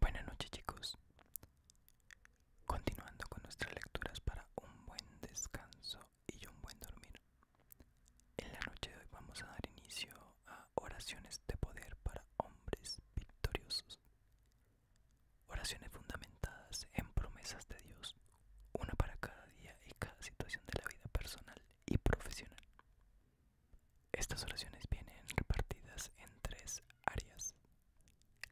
Buenas noches chicos. Continuando con nuestras lecturas para un buen descanso y un buen dormir. En la noche de hoy vamos a dar inicio a oraciones de poder para hombres victoriosos. Oraciones fundamentadas en promesas de Dios, una para cada día y cada situación de la vida personal y profesional. Estas oraciones vienen repartidas en tres áreas.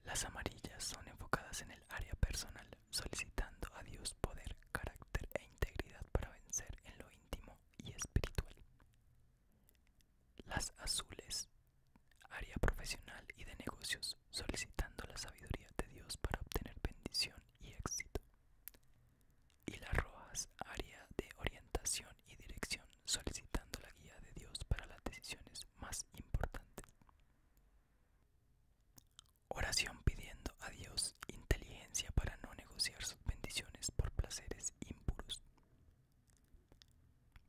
Las amarillas son enfocadas en el área personal, solicitando a Dios poder, carácter e integridad para vencer en lo íntimo y espiritual. Las azules, área profesional y de negocios, solicitando la sabiduría de Dios para obtener bendición y éxito. Y las rojas, área de orientación y dirección, solicitando la guía de Dios para las decisiones más importantes. Oración pidiendo a Dios inteligencia para no negociar sus bendiciones por placeres impuros.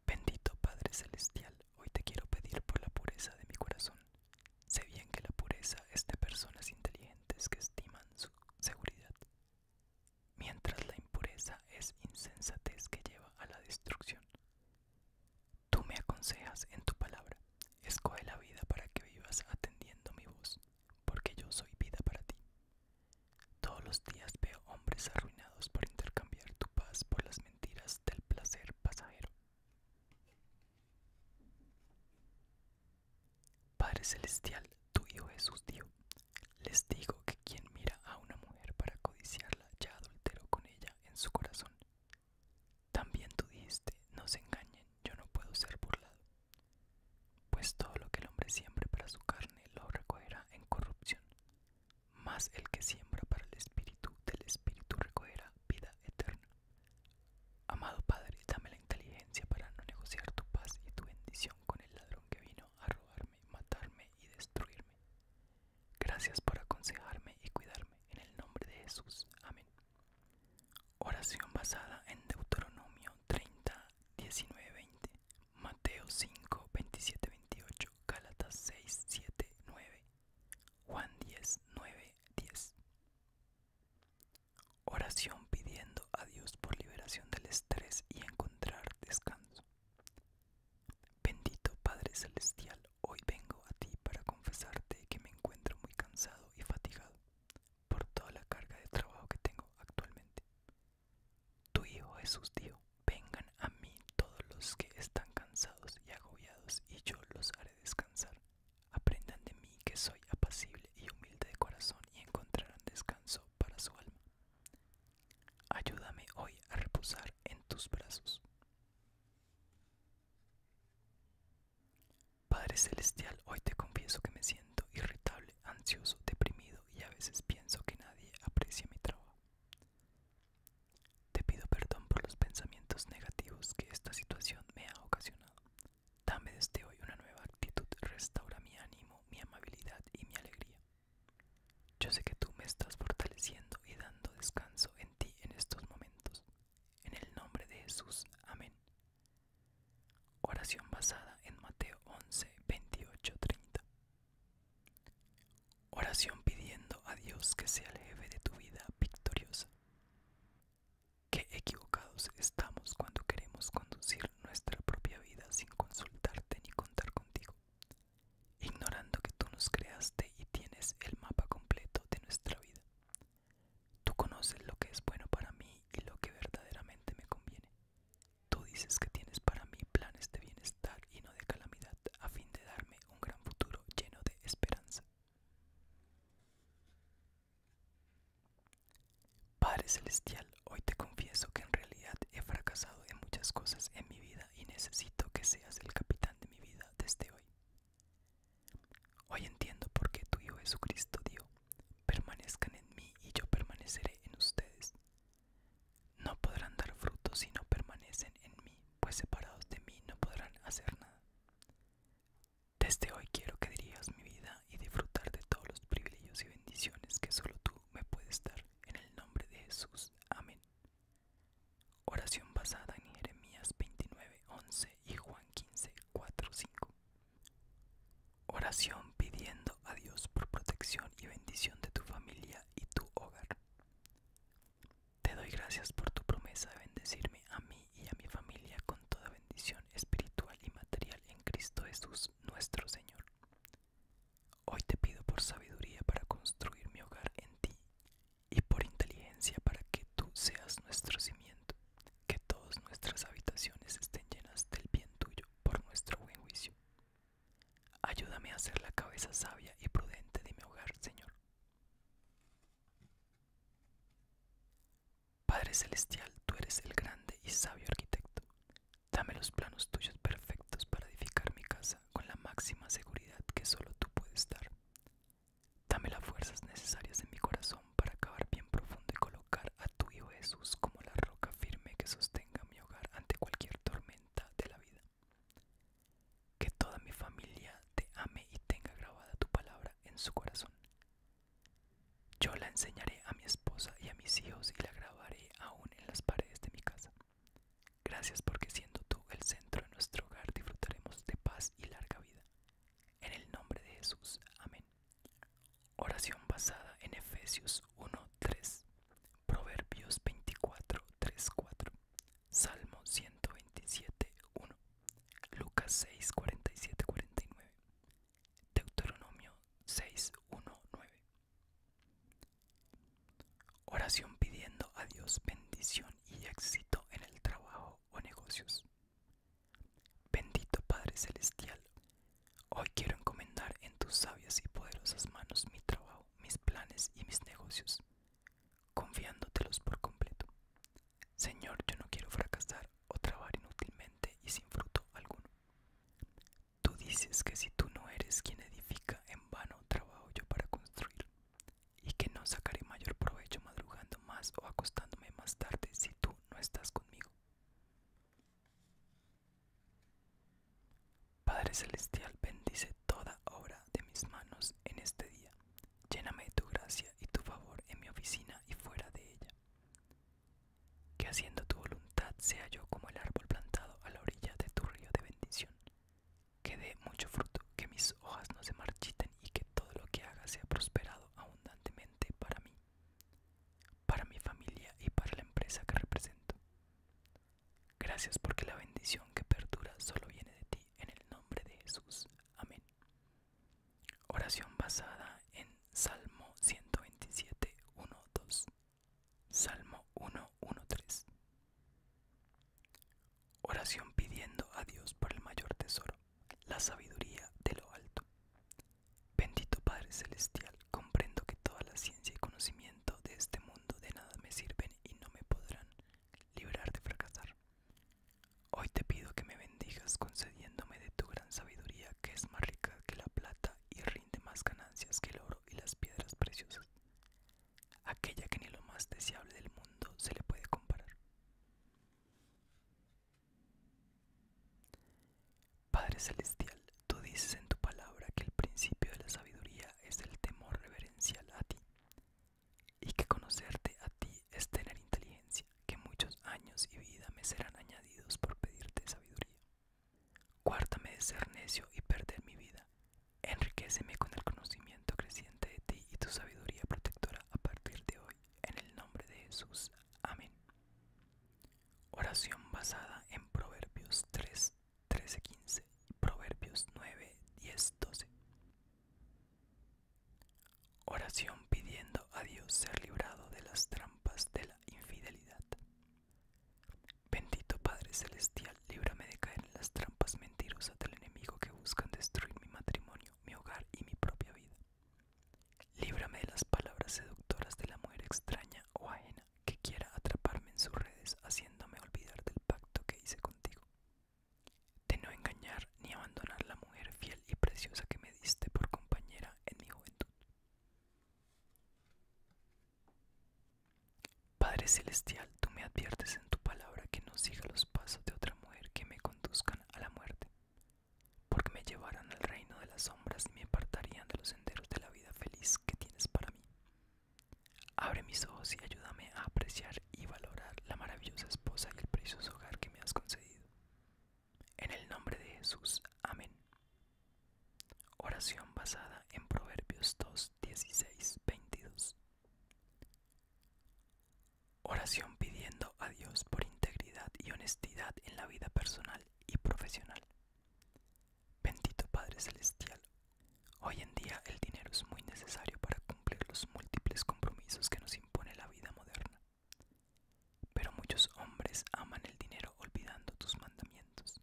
Bendito Padre Celestial, hoy te quiero pedir por la pureza de mi corazón. Sé bien que la pureza es de personas inteligentes que estiman su seguridad, mientras la impureza es insensatez que lleva a la destrucción. Tú me aconsejas en tu palabra, escoge la vida para que vivas atendiendo mi voz, porque yo soy vida para ti. Todos los días veo hombres arruinados por intercambiar tu paz por las mentiras del placer pasajero. Padre Celestial, tu Hijo Jesús dios. Les digo que quien mira a una mujer para codiciarla ya adulteró con ella en su corazón. También tú dijiste, no se engañen, yo no puedo ser burlado. Pues todo lo que el hombre siembre para su carne lo recogerá en corrupción, Más el que siembra para el espíritu del espíritu recogerá vida eterna. Amado Padre, dame la inteligencia para no negociar tu paz y tu bendición con el ladrón que vino a robarme, matarme y destruirme. Gracias por aconsejarme y cuidarme. En el nombre de Jesús. Amén. Oración basada en Deuteronomio 30, 19, 20. Mateo 5, 27, 28. Gálatas 6, 7, 9. Juan 10, 9, 10. Oración pidiendo a Dios por liberación del estrés y encontrar descanso. Bendito Padre Celestial, hoy vengo a ti para confesarte que me encuentro muy cansado y fatigado por toda la carga de trabajo que tengo actualmente. Tu Hijo Jesús dijo, vengan a mí todos los que están cansados y agobiados y yo los haré descansar. Aprendan de mí que soy apacible y humilde de corazón y encontrarán descanso para su alma. Ayúdame hoy a reposar en tus brazos. Padre Celestial, hoy te confieso que me siento irritable, ansioso, deprimido y a veces pienso que nadie aprecia mi trabajo. Te pido perdón por los pensamientos negativos que esta situación me ha ocasionado. Dame desde hoy una nueva actitud, restaura mi ánimo, mi amabilidad y mi alegría. Yo sé que tú me estás fortaleciendo y dando descanso en ti en estos momentos. En el nombre de Jesús. Amén. Oración basada en Mateo 11, 28, 30. Oración pidiendo a Dios que sea el jefe de tu vida victoriosa. Qué equivocados estamos cuando queremos conducir nuestra propia vida sin consultarte ni contar contigo, ignorando que tú nos creaste y tienes el mapa completo de nuestra vida. Tú conoces lo que es bueno para mí y lo que verdaderamente me conviene. Tú dices que tienes para mí planes de bienestar y no de calamidad a fin de darme un gran futuro lleno de esperanza. Padre Celestial, hoy te confieso que en realidad he fracasado en muchas cosas en mi vida y necesito que seas el capitán de mi vida desde hoy. Hoy entiendo por qué tu Hijo Jesucristo dio, permanezcan en mí y yo permaneceré en ustedes. No podrán dar fruto si no permanecen en mí, pues separados de mí no podrán hacer nada. Desde hoy quiero que dirijas mi vida y disfrutar de todos los privilegios y bendiciones que solo tú me puedes dar. En el nombre de Jesús. Amén. Oración basada en Jeremías 29.11 y Juan 15, Oración pidiendo a Dios por protección y bendición de tu familia y tu hogar. Te doy gracias por tu promesa de bendecirme a mí y a mi familia con toda bendición espiritual y material en Cristo Jesús nuestro Señor. Hoy te pido por sabiduría para construir mi hogar en ti y por inteligencia para que tú seas nuestro cimiento, que todas nuestras habitaciones estén llenas del bien tuyo por nuestro buen juicio. Ayúdame a ser la cabeza sabia y prudente de mi hogar, Señor. Padre Celestial, tú eres el grande y sabio arquitecto. Dame los planos tuyos perfectos para edificar mi casa con la máxima seguridad que solo tú puedes dar. Dame las fuerzas necesarias en mi corazón para acabar bien profundo y colocar a tu Hijo Jesús como la roca firme que sostenga mi hogar ante cualquier tormenta de la vida. Que toda mi familia te ame y tenga grabada tu palabra en su corazón. Yo la enseñaré a mi esposa y a mis hijos y la grabaré aún en las paredes de mi casa. Gracias porque siendo tú el centro de nuestro hogar disfrutaremos de paz y larga vida. En el nombre de Jesús. Amén. Oración basada en Efesios 1.3, Proverbios 24.3.4, Salmo 127.1, Lucas 6.47.49, Deuteronomio 6.1.9 Oración pidiendo a Dios bendición y éxito en el trabajo o negocios. Bendito Padre Celestial, hoy quiero encomendar en tus sabias y poderosas manos mi trabajo, mis planes y mis negocios, confiándotelos por completo. Señor, yo no quiero fracasar o trabajar inútilmente y sin fruto alguno. Tú dices que si tú no eres quien edifica, en vano trabajo yo para construir, y que no sacaré mayor provecho madrugando más o acostándome más tarde si tú no estás conmigo. Padre Celestial, bendice toda obra de mis manos en este día. Lléname de tu gracia y tu favor en mi oficina y fuera de ella que haciendo tu voluntad sea yo como el árbol plantado a la orilla de tu río de bendición, que dé mucho fruto, que mis hojas no se marchiten y que todo lo que haga sea prosperado abundantemente para mí, para mi familia y para la empresa que represento. Gracias porque la bendición que perdura solo viene de ti en el nombre de Jesús. Amén. Oración basada en Salmo 127, 2. Salmo 1.1.3 Oración pidiendo a Dios por el mayor tesoro, la sabiduría de lo alto. Bendito Padre Celestial, comprendo que toda la ciencia y conocimiento de este mundo de nada me sirven y no me podrán liberar de fracasar. Hoy te pido que me bendigas concediéndome de tu gran sabiduría que es más rica que la plata y rinde más ganancias que el oro y las piedras preciosas, aquella que ni lo más deseable del mundo se le puede comparar. Padre Celestial, tú dices en tu palabra que el principio de la sabiduría es el temor reverencial a ti, y que conocerte a ti es tener inteligencia, que muchos años y vida me serán añadidos por pedirte sabiduría. Guárdame de ser necio y perder mi vida. Enriqueceme con el conocimiento creciente de ti y tu sabiduría protectora a partir de hoy. En el nombre de Jesús. Amén. Oración basada en Proverbios 3, 13, 15 y Proverbios 9, 10, 12. Oración pidiendo a Dios ser librado de las trampas de la infidelidad. Bendito Padre Celestial, líbrame de caer en las trampas mentirosas del enemigo que buscan destruir mi matrimonio, mi hogar y mi propia vida. Líbrame de las palabras seductoras de la mujer extraña o ajena que quiera atraparme en sus redes haciéndome olvidar del pacto que hice contigo. De no engañar ni abandonar la mujer fiel y preciosa que me diste por compañera en mi juventud. Padre Celestial, tú me adviertes en tu palabra que no siga los pasos de otra mujer que me conduzcan a la muerte, porque me llevarán al reino de las sombras y me apartarían de los senderos de la vida feliz que tienes para mí. Abre mis ojos y ayúdame a apreciar y valorar la maravillosa esposa y el precioso hogar que me has concedido. En el nombre de Jesús, amén. Oración basada en Proverbios 2, 16, 22. Oración pidiendo a Dios por integridad y honestidad en la vida personal y profesional. Bendito Padre Celestial, hoy en día el dinero es muy necesario para cumplir los múltiples compromisos que nos impone la vida moderna. Pero muchos hombres aman el dinero olvidando tus mandamientos.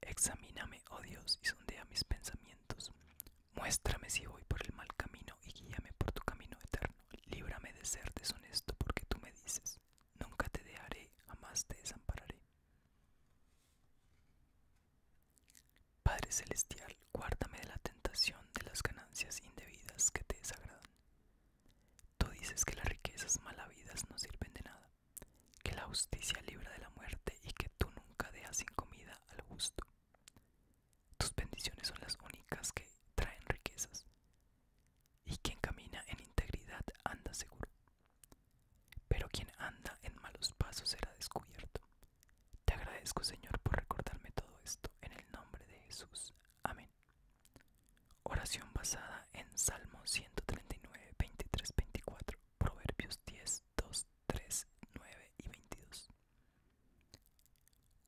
Examíname, oh Dios, y sondea mis pensamientos. Muéstrame si voy por el mal camino y guíame por tu camino eterno. Líbrame de ser deshonesto porque tú me dices, nunca te dejaré, jamás te desampararé. Padre Celestial, guárdame de la tentación de las ganancias indebidas que te desagradan. Tú dices que las riquezas malavidas no sirven de nada que la justicia libra de la muerte y que tú nunca dejas sin comida al gusto. Tus bendiciones son las únicas que traen riquezas, y quien camina en integridad anda seguro. Pero quien anda en malos pasos será descubierto. Te agradezco Señor por recordarme todo esto, en el nombre de Jesús. Amén. Oración basada en Salmo 139, 23, 24, Proverbios 10, 2, 3, 9 y 22.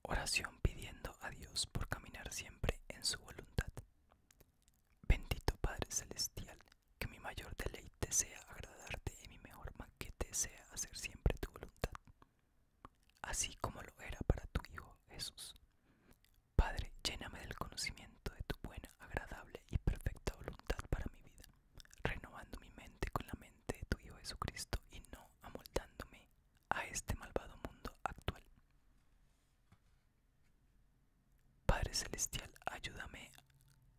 Oración pidiendo a Dios por caminar siempre en su voluntad. Bendito Padre Celestial, que mi mayor deleite sea agradarte y mi mejor maquete sea hacer siempre tu voluntad, así como lo era para tu Hijo Jesús. Padre, lléname del conocimiento de tu buena, agradable y perfecta voluntad para mi vida, renovando mi mente con la mente de tu Hijo Jesucristo y no amoldándome a este malvado mundo actual. Padre Celestial, ayúdame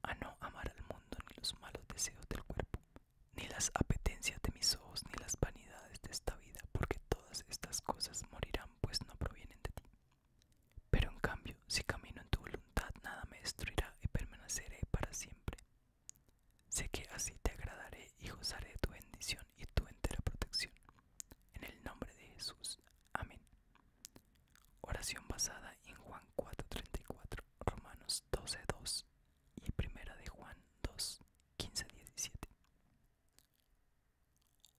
a no amar al mundo ni los malos deseos del cuerpo, ni las apetencias de mis ojos, ni las vanidades de esta vida, porque todas estas cosas morirán, pues no provienen de ti. Pero en cambio, si camino en tu voluntad, nada me destruirá y permaneceré para siempre. Sé que así te agradaré y gozaré de tu bendición y tu entera protección. En el nombre de Jesús. Amén. Oración basada en Juan 4:34, Romanos 12:2 y Primera de Juan 2:15-17.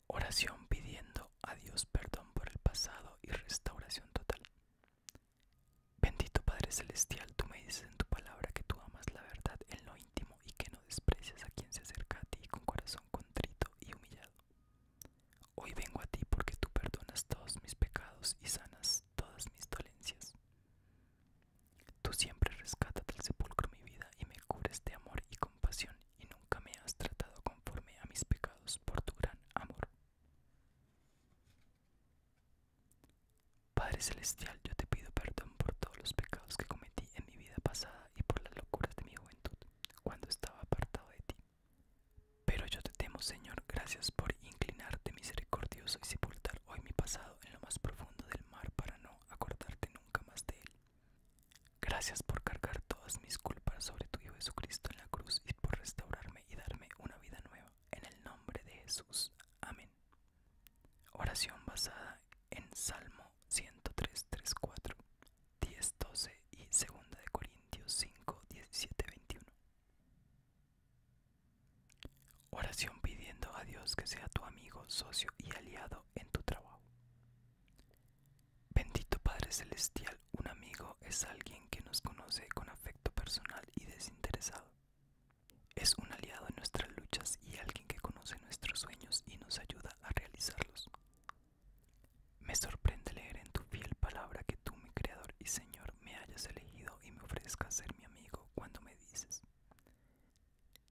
Oración pidiendo a Dios perdón por el pasado y restauración total. Bendito Padre Celestial, tú me dices en tu palabra que tú amas la verdad en lo íntimo y que no desprecias a quien se acerca a ti con corazón contrito y humillado. Hoy vengo a ti porque tú perdonas todos mis pecados y sanas todas mis dolencias. Tú siempre rescatas del sepulcro mi vida y me cubres de amor y compasión y nunca me has tratado conforme a mis pecados por tu gran amor. Padre Celestial, yo te pido perdón por todos los pecados que cometí en mi vida pasada y por las locuras de mi juventud, cuando estaba apartado de ti. Pero yo te temo, Señor, gracias por inclinarte misericordioso y sepultar hoy mi pasado en lo más profundo del mar para no acordarte nunca más de él. Gracias por cargar todas mis culpas sobre tu Hijo Jesucristo en la cruz y por restaurarme y darme una vida nueva. En el nombre de Jesús. Amén. Oración basada en Salmo 103, 3, 4, 10, 12 y 2 Corintios 5, 17, 21. Oración pidiendo a Dios que sea tu amigo, socio y aliado en tu trabajo. Bendito Padre Celestial, un amigo es alguien que nos conoce con afecto personal y desinteresado. Es un aliado en nuestras luchas y alguien que conoce nuestros sueños y nos ayuda a realizarlos. Me sorprende leer en tu fiel palabra que tú, mi Creador y Señor, me hayas elegido y me ofrezcas ser mi amigo cuando me dices,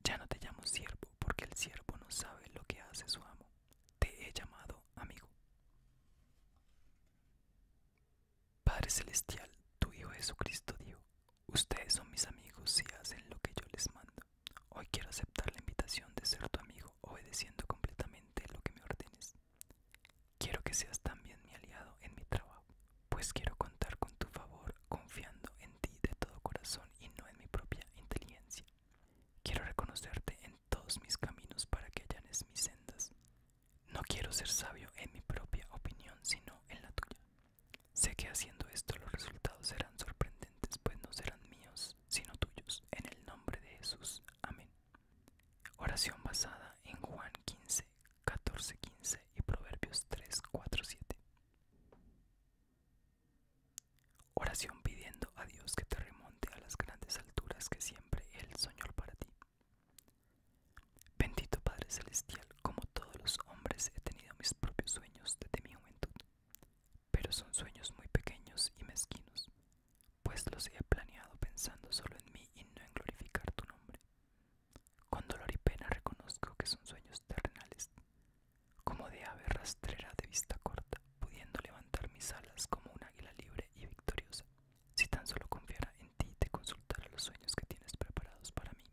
ya no te llamo siervo porque el siervo no sabe lo que hace su amo te he llamado amigo. Padre Celestial, tu Hijo Jesucristo dijo, ustedes son mis amigos si hacen lo que yo les mando. Hoy quiero aceptar la invitación de ser tu amigo, obedeciendo completamente lo que me ordenes. Quiero que seas también mi aliado en mi trabajo, pues quiero contar con tu favor, confiando en ti de todo corazón y no en mi propia inteligencia. Quiero reconocerte en todos mis caminos para que allanes mis sendas. No quiero ser sabio en mi propia opinión, sino en la tuya. Sé que haciendo esto los resultados serán sorprendentes, pues no serán míos, sino tuyos. En el nombre de Jesús. Amén. Oración basada en Juan 15, 14, 15 y Proverbios 3, 4, 7. Oración pidiendo a Dios que te remonte a las grandes alturas que siempre Él soñó para ti. Bendito Padre Celestial, como todos los hombres he tenido mis propios sueños desde mi juventud, pero son sueños muy pequeños y mezquinos, pues los he planeado pensando solo en mí y no en glorificar tu nombre. Con dolor y pena reconozco que son sueños terrenales, como de ave rastrera de vista corta, pudiendo levantar mis alas como un águila libre y victoriosa, si tan solo confiara en ti y te consultara los sueños que tienes preparados para mí.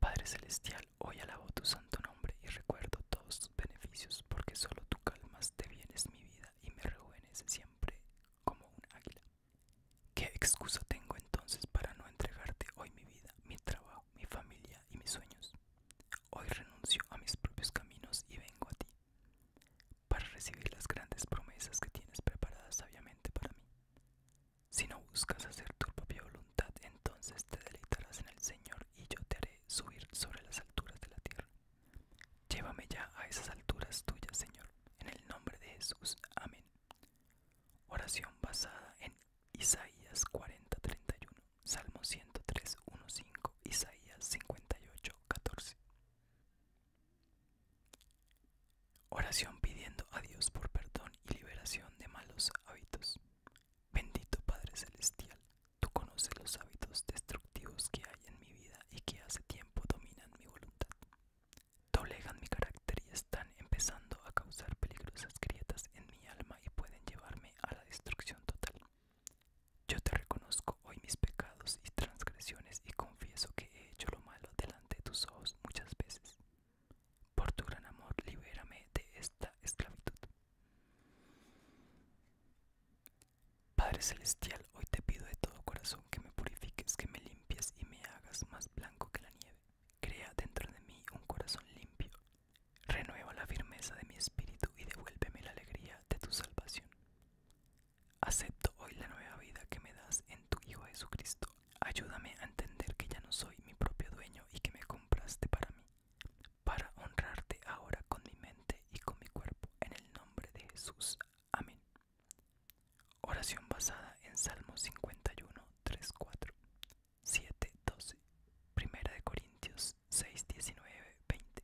Padre Celestial, hoy alabo tu santo nombre y recuerdo todos tus beneficios, porque solo tú calmas te vienes mi vida y me rejuveneces siempre como un águila. ¿Qué excusa tengo entonces para no entregarte hoy mi vida? mi trabajo, mi familia y mis sueños. Hoy renuncio a mis propios caminos y vengo a ti, para recibir las grandes promesas que tienes preparadas sabiamente para mí. Si no buscas hacer tu propia voluntad, entonces te deleitarás en el Señor y yo te haré subir sobre las alturas de la tierra. Llévame ya a esas alturas tuyas, Señor, en el nombre de Jesús. Amén. Oración basada en Isaías 40:31, Salmo 103:15, Isaías 58:14. Oración pidiendo a Dios por perdón y liberación de malos hábitos. Bendito Padre Celestial, tú conoces los hábitos destructivos que hay en mi vida y que hace tiempo dominan mi voluntad. Doblegan mi carácter y están empezando a causar peligrosas grietas en mi alma y pueden llevarme a la destrucción total. Yo te reconozco hoy mis pecados y transgresiones y confieso que he hecho lo malo delante de tus ojos muchas veces. Por tu gran amor, libérame de esta esclavitud. Padre Celestial, hoy te pido de todo corazón que me purifiques, que me limpies y me hagas más blanco que la nieve. Crea dentro de mí un corazón limpio. Renueva la firmeza de mi espíritu y devuélveme la alegría de tu salvación. Acepto hoy la nueva vida que me das en tu Hijo Jesucristo. Ayúdame a entender que ya no soy mi propio dueño y que me compraste para mí, para honrarte ahora con mi mente y con mi cuerpo, en el nombre de Jesús. Amén. Oración basada en Salmo 51, 3, 4. 7:12, Primera de Corintios 6.19.20 20.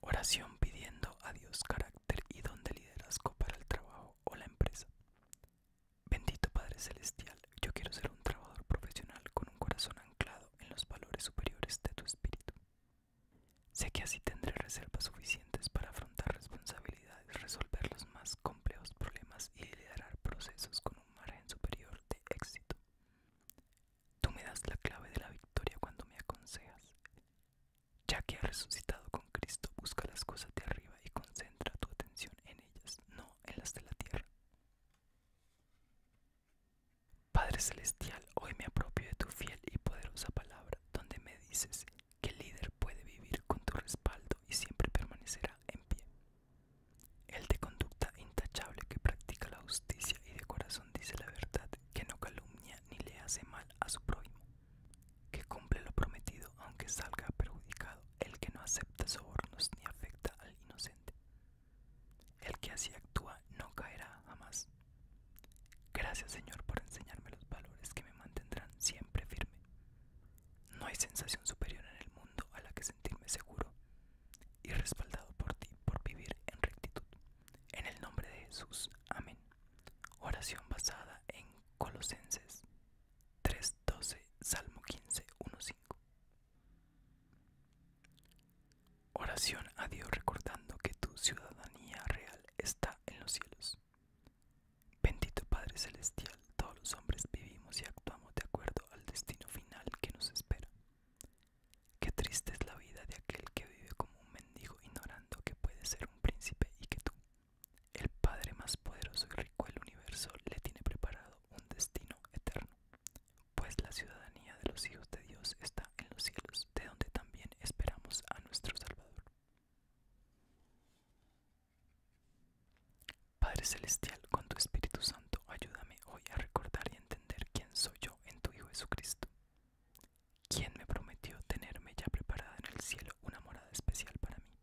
Oración pidiendo a Dios carácter y don de liderazgo para el trabajo o la empresa. Bendito Padre Celestial, yo quiero ser un trabajador profesional con un corazón anclado en los valores superiores de tu espíritu. Sé que así tendré reserva suficiente para afrontar responsabilidades, resolver los más complejos problemas y liderar procesos con un margen superior de éxito. Tú me das la clave de la victoria cuando me aconsejas. Ya que has resucitado con Cristo, busca las cosas de arriba y concentra tu atención en ellas, no en las de la tierra. Padre Celestial, hoy me apropio de tu fiel y poderosa palabra, donde me dices que el líder puede vivir con tu respaldo y siempre permanecerá en pie. El de conducta intachable que practica la justicia y de corazón dice la verdad, que no calumnia ni le hace mal a su prójimo, que cumple lo prometido aunque salga perjudicado, el que no acepta sobornos ni afecta al inocente. El que así actúa no caerá jamás. Gracias Señor por enseñarme los valores que me mantendrán siempre firme. No hay sensación superior en el mundo a la que sentirme seguro y respaldado por ti por vivir en rectitud. En el nombre de Jesús. Amén. Oración basada en Colosenses 3.12, Salmo 15.1.5. Oración a Dios recordando que tu ciudadanía real está en los cielos Bendito Padre Celestial, todos los hombres vivimos y actuamos de acuerdo al destino final que nos espera. Qué triste es la vida de aquel que vive como un mendigo ignorando que puede ser un príncipe y que tú, el Padre más poderoso y rico del universo, le tiene preparado un destino eterno, pues la ciudadanía de los hijos de Dios está en los cielos, de donde también esperamos a nuestro Salvador. Padre Celestial, con tu Espíritu Santo, ayúdame hoy a recordar y entender quién soy yo en tu Hijo Jesucristo, quien me prometió tenerme ya preparada en el cielo una morada especial para mí.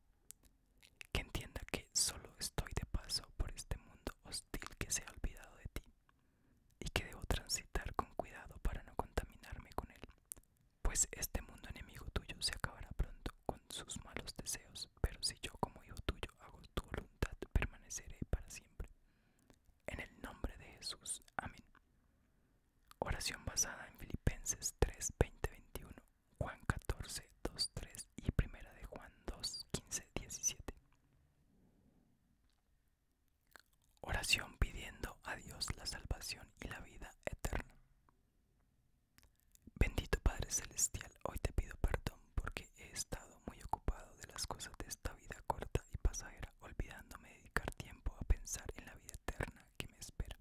Que entienda que solo estoy de paso por este mundo hostil que se ha olvidado de ti y que debo transitar con cuidado para no contaminarme con él, pues este mundo enemigo tuyo se acabará pronto con sus malos deseos, pero si yo como hijo tuyo hago tu voluntad, permaneceré para siempre. En el nombre de Jesús. Amén. Oración basada en Filipenses 3, 20, 21, Juan 14, 2, 3 y primera de Juan 2, 15, 17. Oración pidiendo a Dios la salvación y la vida eterna. Bendito Padre Celestial, hoy te pido perdón porque he estado muy ocupado de las cosas de esta vida corta y pasajera, olvidándome de dedicar tiempo a pensar en la vida eterna que me espera.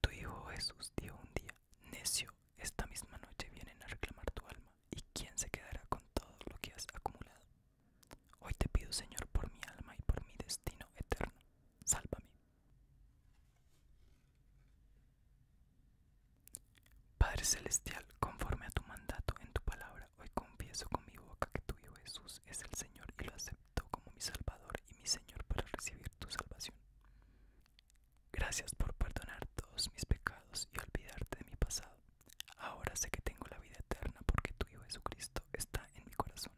Tu Hijo Jesús dijo un día, necio, esta misma noche vienen a reclamar tu alma, ¿y quién se quedará con todo lo que has acumulado? Hoy te pido, Señor, por mi alma y por mi destino eterno, sálvame. Padre Celestial, conforme a tu mandato en tu palabra, hoy confieso con mi boca que tu Hijo Jesús es el Señor y lo acepto como mi Salvador y mi Señor para recibir tu salvación. Gracias por perdonar todos mis pecados y olvidarte de mi pasado. Ahora sé que tengo la vida eterna porque tu Hijo Jesucristo está en mi corazón.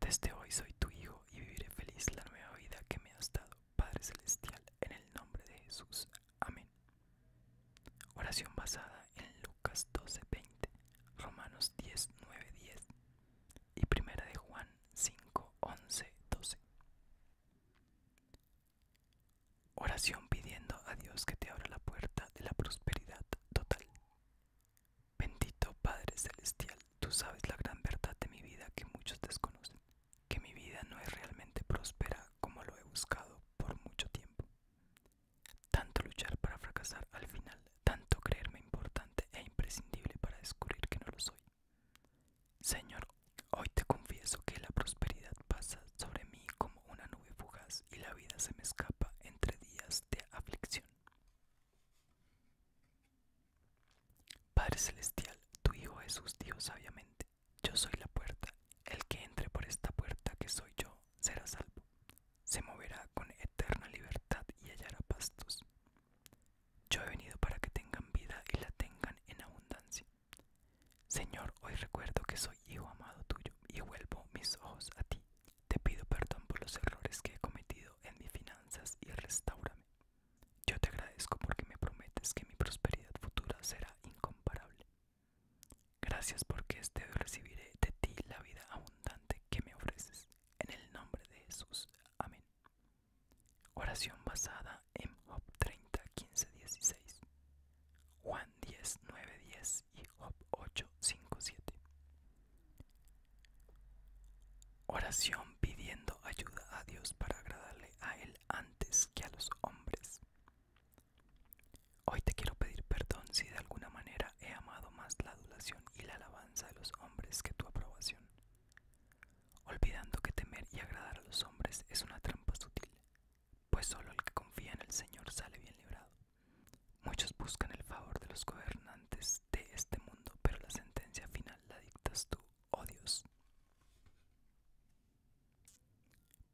Desde hoy soy tu hijo y viviré feliz la nueva vida que me has dado, Padre Celestial, en el nombre de Jesús. Amén. Oración basada en Lucas 12:20, Romanos 10, 9, 10 y Primera de Juan 5, 12. Oración pidiendo a Dios que te abra la puerta de la prosperidad total. Bendito Padre Celestial, tú sabes la gran verdad de mi vida que muchos desconocen, que mi vida no es realmente próspera como lo he buscado por mucho tiempo. Tanto luchar para fracasar al final, tanto creerme importante e imprescindible para descubrir que no lo soy. Señor, hoy te confieso que la prosperidad pasa sobre mí como una nube fugaz y la vida se me escapa entre días de aflicción. Padre Celestial, tu Hijo Jesús dijo sabiamente, yo soy la puerta, el que entre por esta puerta que soy yo será salvo, se moverá con eterna libertad y hallará pastos. Yo he venido para que tengan vida y la tengan en abundancia. Señor, hoy recuerdo que soy hijo amado tuyo y vuelvo mis ojos a ti te pido perdón por los errores que he cometido en mis finanzas y restaurame. Yo te agradezco porque me prometes que mi prosperidad futura será incomparable. Gracias porque este hoy recibiré de ti la vida abundante que me ofreces. En el nombre de Jesús. Amén. Oración basada en Job 30, 15, 16. Juan 10, 9, 10 y Job 8, 5, 7. Oración pidiendo ayuda a Dios para agradarle a Él antes que a los hombres. Hoy te quiero pedir perdón si de alguna manera he amado más la adulación y la alabanza de los hombres que tu aprobación. Olvidando que temer y agradar a los hombres es una trampa sutil, pues solo el que confía en el Señor sale bien librado. Muchos buscan el favor de los gobernantes de este mundo pero la sentencia final la dictas tú, oh Dios.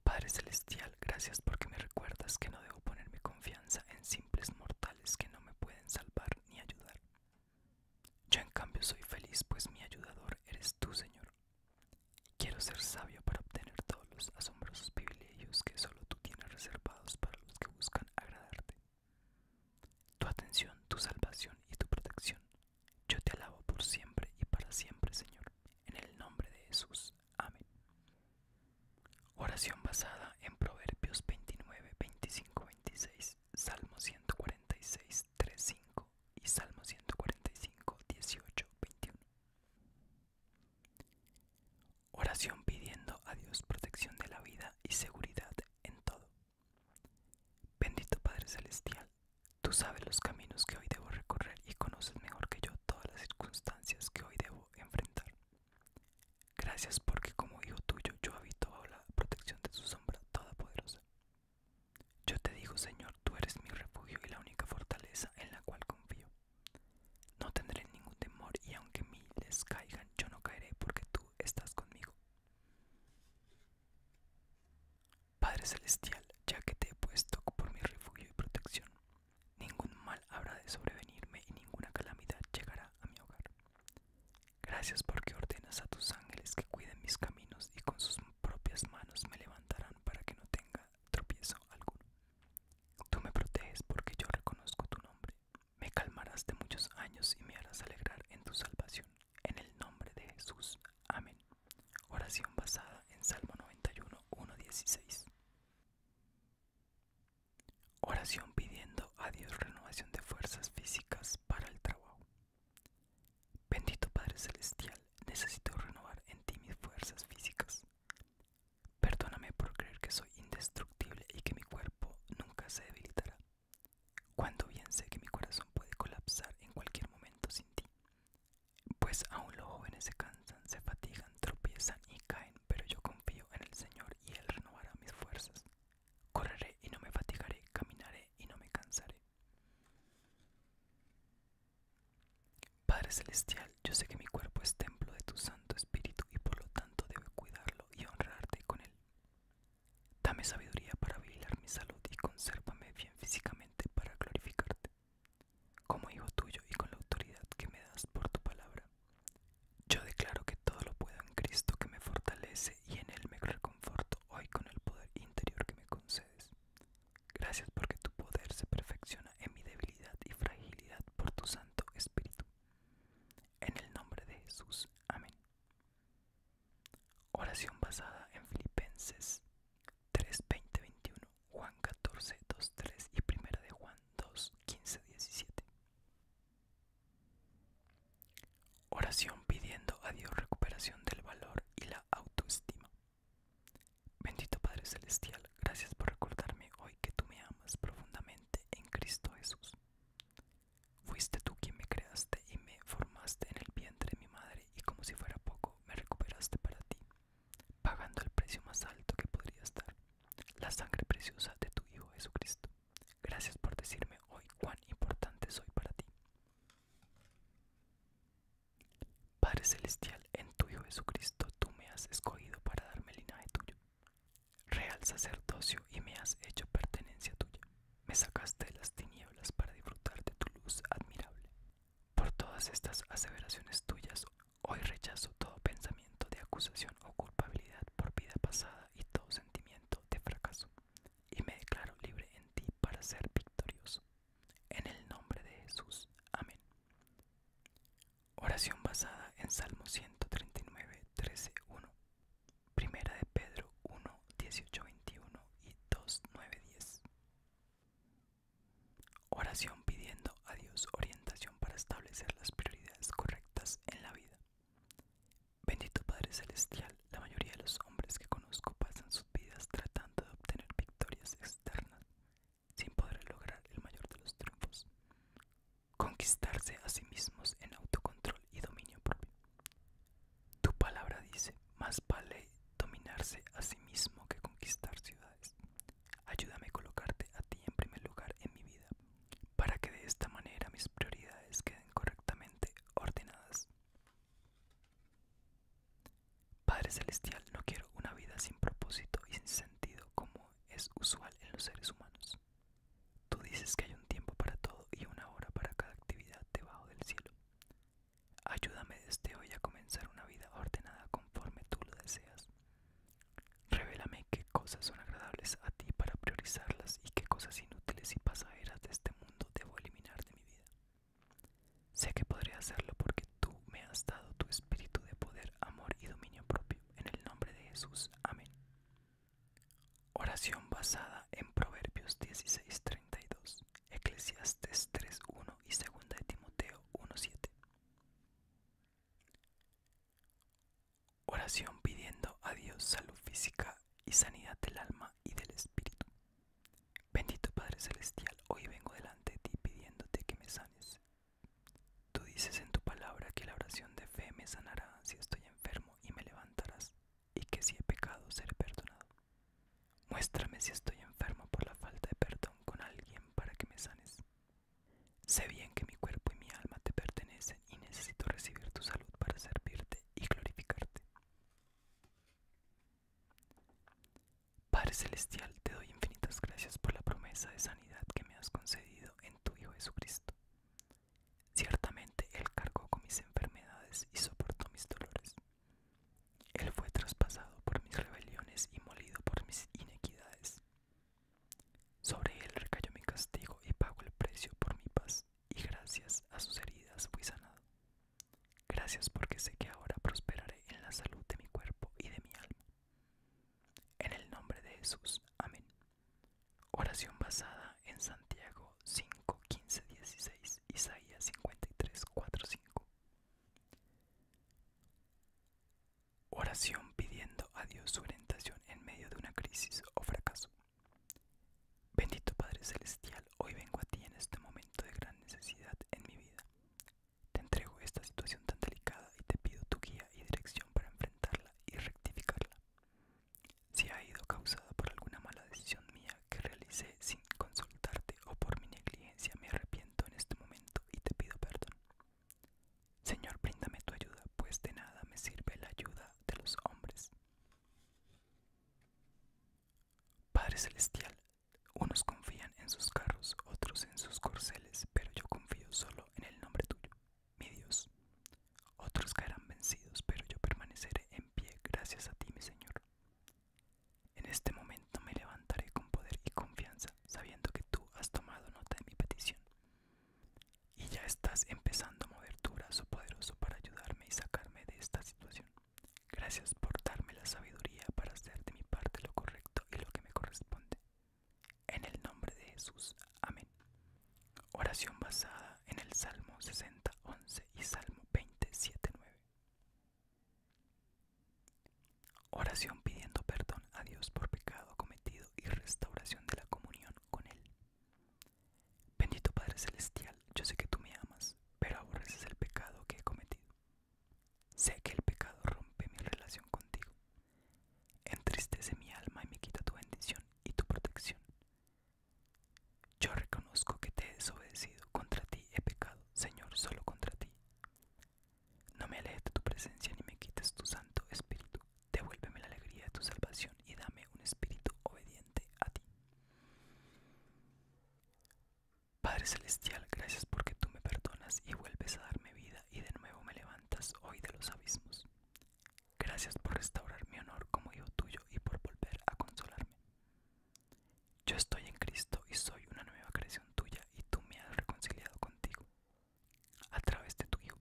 Padre Celestial, gracias porque me recuerdas que no debo poner mi confianza en simples mortales que no me pueden salvar ni ayudar. Yo en cambio soy feliz, pues mi ayudador eres tú, Señor. Quiero ser sabio para obtener todos los asombrosos privilegios que solo tú tienes reservados para los que buscan agradarte. Tu atención, tu salvación y tu protección. Yo te alabo por siempre y para siempre, Señor, en el nombre de Jesús. Amén. Oración basada en Proverbios 29, 25, 26, Salmo 146, 3, y Salmo 145, 18, 21. Oración pidiendo a Dios protección de la vida y seguridad en todo. Bendito Padre Celestial, tú sabes los caminos que hoy debo recorrer y conoces mejor que yo todas las circunstancias que hoy debo enfrentar. Gracias porque como hijo tuyo yo habito bajo la protección de su sombra todopoderosa. Yo te digo, Señor, tú eres mi refugio y la única fortaleza en la cual confío. No tendré ningún temor y aunque miles caigan, yo no caeré porque tú estás conmigo. Padre Celestial, ya que te he puesto por mi refugio y protección, ningún mal habrá de sobrevenirme y ninguna calamidad llegará a mi hogar. Gracias porque ordenas a tus ángeles que cuiden mis caminos y con sus propias manos me levantarán para que no tenga tropiezo alguno. Tú me proteges porque yo reconozco tu nombre me calmarás de muchos años y me harás alegrar en tu salvación. En el nombre de Jesús. Amén. Oración basada en Salmo 91, 1.16. Oración pidiendo a Dios renovación de fuerzas físicas para el trabajo. Bendito Padre Celestial, necesito renovar en ti mis fuerzas físicas. Perdóname por creer que soy indestructible y que mi cuerpo nunca se debilitará. Cuando bien sé que mi corazón puede colapsar en cualquier momento sin ti. Pues aún los jóvenes se cansan, se fatigan, tropiezan y caen, pero yo confío en el Señor y Él renovará mis fuerzas. Correré y no me fatigaré, caminaré y no me cansaré. Padre Celestial, yo sé que mi cuerpo es templo de tu Santo Espíritu y por lo tanto debo cuidarlo y honrarte con él. Dame sabiduría para vigilar mi salud y consérvame bien físicamente para glorificarte. Como hijo tuyo y con la autoridad que me das por tu palabra, yo declaro que todo lo puedo en Cristo que me fortalece y en Él me reconforto hoy con el poder interior que me concedes. Gracias porque tu poder se perfecciona en mi debilidad y fragilidad por tu Santo Espíritu. En el nombre de Jesús. Amén. Oración basada en Filipenses 3, 20, 21, Juan 14, 2, 3 y 1 de Juan 2, 15, 17. Oración pidiendo a Dios recuperación del valor y la autoestima. Bendito Padre Celestial, gracias por recordarme hoy que tú me amas profundamente en Cristo Jesús. Fuiste tú quien me creaste y me formaste en el vientre de mi madre y como si fuera poco me recuperaste para ti, pagando el precio más alto que podría estar, la sangre preciosa de tu Hijo Jesucristo. Gracias por decirme hoy cuán importante soy para ti. Padre Celestial, en tu Hijo Jesucristo tú me has escogido para darme el linaje tuyo. Real sacerdocio y me has hecho pertenencia tuya. Me sacaste de las tinieblas para disfrutar de tu luz admirable. Por todas estas aseveraciones tuyas, hoy rechazo todo pensamiento de acusación o culpabilidad por vida pasada y todo sentimiento de fracaso, y me declaro libre en ti para ser victorioso. En el nombre de Jesús. Amén. Oración basada en Salmo 139, 13, 1. Primera de Pedro 1, 18, 21 y 2, 9, 10. Oración pidiendo a Dios orientación para establecer las prioridades correctas en la vida. Bendito Padre Celestial, la mayoría de los hombres que conozco pasan sus vidas tratando de obtener victorias externas sin poder lograr el mayor de los triunfos conquistarse a sí mismos en autocontrol y dominio propio. Tu palabra dice, más vale dominarse a sí mismo que conquistar ciudades. Ayúdame a colocarte a ti en primer lugar en mi vida, para que de esta manera mis prioridades queden correctamente ordenadas. Padre Celestial, no quiero una vida sin propósito y sin sentido como es usual en los seres humanos. Tú dices que hay un tiempo para todo y una hora para cada actividad debajo del cielo. Ayúdame desde hoy a comenzar una vida ordenada conforme tú lo deseas. Revélame qué cosas son agradables a ti para priorizarlas y qué cosas inútiles y pasajeras de este mundo debo eliminar de mi vida. Sé que podré hacerlo porque tú me has dado tu espíritu de poder, amor y dominio propio. En el nombre de Jesús. Amén. Oración basada en Proverbios 16:32, Eclesiastes 3:1 y 2 de Timoteo 1:7. Oración pidiendo a Dios salud física y sanidad del alma y del espíritu. Bendito Padre Celestial, hoy vengo delante de ti pidiéndote que me sanes. Tú dices en tu palabra que la oración de fe me sanará si estoy enfermo y me levantarás, y que si he pecado seré perdonado. Muéstrame si estoy enfermo por la falta de perdón con alguien para que me sanes. Sé bien que mi cuerpo y mi alma te pertenecen y necesito recibir tu salud para servirte y glorificarte. Padre Celestial, te doy infinitas gracias por la promesa de sanidad que me has concedido en tu Hijo Jesucristo. Ciertamente él cargó con mis enfermedades y soportó mis dolores. Él fue traspasado por mis rebeliones y molido por mis inequidades. Sobre él recayó mi castigo y pagó el precio por mi paz, y gracias a sus heridas fui sanado. Gracias porque sé que ahora prosperaré en la salud de mi cuerpo y de mi alma. En el nombre de Jesús. Amén. Oración basada en Santiago 5, 15, 16, Isaías 53, 4, 5. Oración pidiendo a Dios su orientación en medio de una crisis o fracaso. Bendito Padre Celestial, hoy vengo a ti en este momento de gran necesidad en mi vida. Te entrego esta situación tan delicada y te pido tu guía y dirección para enfrentarla y rectificarla si ha ido causada por alguna mala decisión mía que realicé sin consultarte o por mi negligencia, me arrepiento en este momento y te pido perdón. Señor, bríndame tu ayuda, pues de nada me sirve la ayuda de los hombres. Padre Celestial, unos confían en sus carros, otros en sus corceles, pero yo confío solo en el nombre tuyo mi Dios. Otros caerán vencidos, pero yo permaneceré en pie gracias a ti, mi Señor. En este momento me levantaré con poder y confianza, sabiendo que tú has tomado nota de mi petición. Y ya estás empezando a mover tu brazo poderoso para ayudarme y sacarme de esta situación. Gracias por darme la sabiduría para hacer de mi parte lo correcto y lo que me corresponde. En el nombre de Jesús. Amén. Oración basada en el Salmo 60, 11 y Salmo 27, 9. Oración pidiendo perdón a Dios por pecado cometido y restauración de la comunión con Él. Bendito Padre Celestial, yo sé que tú me amas, pero aborreces el pecado que he cometido. Sé que el pecado rompe mi relación contigo Entristece mi alma y me quita tu bendición y tu protección. Yo reconozco que te he desobedecido, contra ti he pecado, Señor, solo contra ti. No me alejes de tu presencia ni me quites tu santo espíritu. Devuélveme la alegría de tu salvación y dame un espíritu obediente a ti. Padre Celestial, gracias porque tú me perdonas y vuelves a darme vida y de nuevo me levantas hoy de los abismos. Gracias por restaurar mi honor como hijo tuyo y por volver a consolarme. Yo estoy en Cristo y soy una nueva creación tuya y tú me has reconciliado contigo a través de tu Hijo,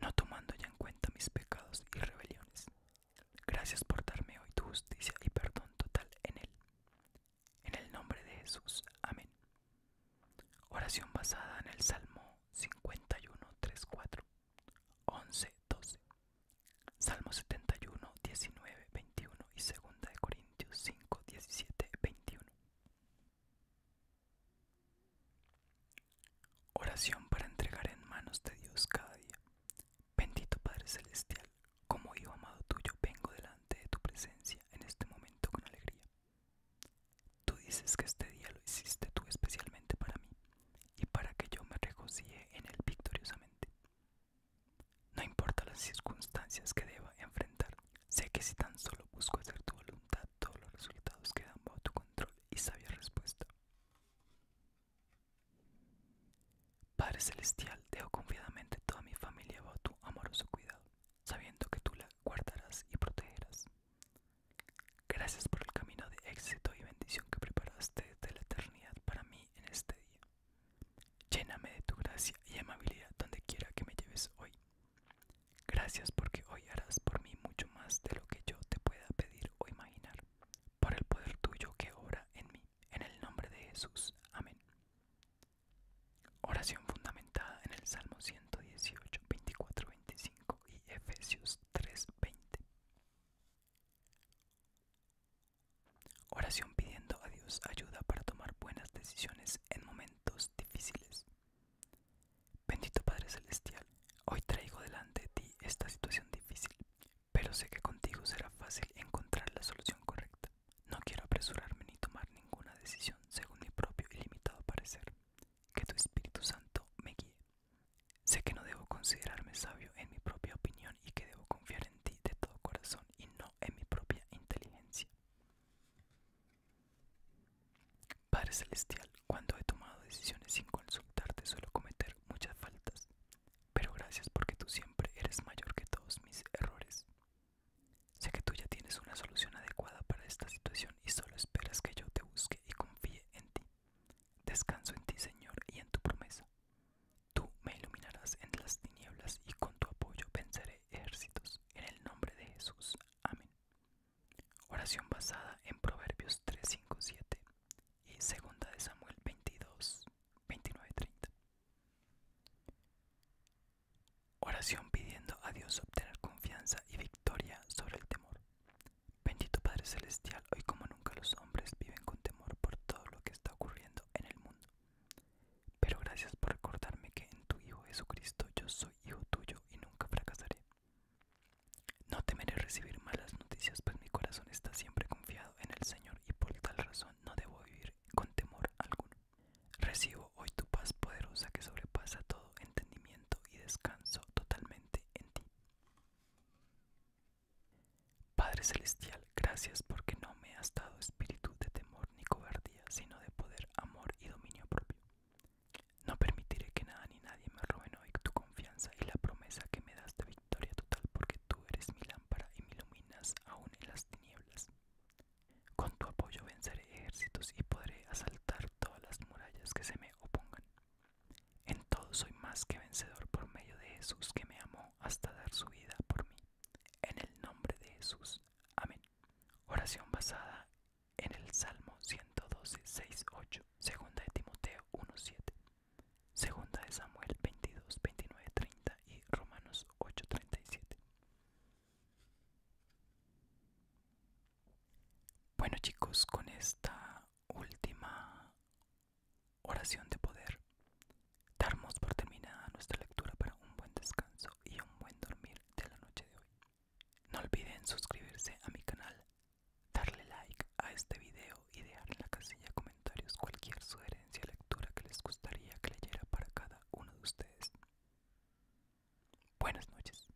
no tomando ya en cuenta mis pecados y rebeliones. Gracias por darme hoy tu justicia y perdón total en Él. En el nombre de Jesús. Amén. Oración basada en el Salmo 51, 3, 4, 11, 12. Salmo 71, 19, 21 y 2 de Corintios 5, 17, 21. Oración para entregar en manos de Dios cada día. Bendito Padre Celestial, como hijo amado tuyo, vengo delante de tu presencia en este momento con alegría. Tú dices que este día lo hiciste tú especialmente para mí y para que yo me regocije en él victoriosamente. No importa las circunstancias que deba enfrentar, sé que si tan solo busco hacer tu voluntad, todos los resultados quedan bajo tu control y sabia respuesta. Padre Celestial, dejo confiadamente toda mi familia bajo tu amoroso cuidado, sabiendo que tú la guardarás y protegerás. Gracias por el camino de éxito y bendición que preparaste desde la eternidad para mí en este día. Lléname de tu gracia y amabilidad donde quiera que me lleves hoy. Gracias porque hoy harás por mí mucho más de lo que yo te pueda pedir o imaginar, por el poder tuyo que obra en mí, en el nombre de Jesús. Amén. Oración fundamentada en el Salmo 118, 24, 25 y Efesios 3:20. Oración pidiendo a Dios ayuda para tomar buenas decisiones en momentos difíciles. Bendito Padre Celestial, hoy traigo delante de ti esta situación difícil, pero sé que contigo será fácil encontrar la solución correcta. No quiero apresurarme ni tomar ninguna decisión según mi propio y limitado parecer. Que tu Espíritu Santo me guíe Sé que no debo considerarme sabio en mi propia opinión y que debo confiar en ti de todo corazón y no en mi propia inteligencia. Padre Celestial, cuando he tomado decisiones sin consultarte suelo cometer muchas faltas, pero gracias porque tú siempre eres mayor que todos mis errores. Sé que tú ya tienes una solución adecuada para esta situación y solo esperas que yo te busque y confíe en ti. Descanso en ti, Señor, y en tu promesa. Tú me iluminarás en las tinieblas y con tu apoyo venceré ejércitos. En el nombre de Jesús. Amén. Oración basada en Proverbios 3, 5, 7 y 2 de Samuel 22, 29, 30. Oración pidiendo a Dios obtener confianza y victoria sobre el temor. Bendito Padre Celestial, hoy como nunca los hombres viven con temor por todo lo que está ocurriendo en el mundo. Pero gracias por recordarme que en tu Hijo Jesucristo yo soy hijo tuyo y nunca fracasaré. No temeré recibir malas noticias, pues mi corazón está siempre confiado en el Señor y por tal razón no debo vivir con temor alguno. Recibo hoy tu paz poderosa que sobrepasa todo entendimiento y descanso totalmente en ti. Padre Celestial, gracias porque no me has dado espíritu de temor ni cobardía, sino de poder, amor y dominio propio. No permitiré que nada ni nadie me roben hoy tu confianza y la promesa que me das de victoria total, porque tú eres mi lámpara y me iluminas aún en las tinieblas. Con tu apoyo venceré ejércitos y podré asaltar todas las murallas que se me opongan. En todo soy más que vencedor por medio de Jesús que me amó hasta dar su vida por mí. En el nombre de Jesús. Amén. Oración basada en el Salmo 112, 6, 8. Segunda de Timoteo 17 7. Segunda de Samuel 22, 29, 30 y Romanos 837 bueno chicos, con esta última oración de poder, damos por terminada nuestra lectura para un buen descanso y un buen dormir de la noche de hoy. No olviden suscribirse a mi canal, darle like a este video y dejar en la casilla comentarios cualquier sugerencia lectura que les gustaría que leyera para cada uno de ustedes. Buenas noches.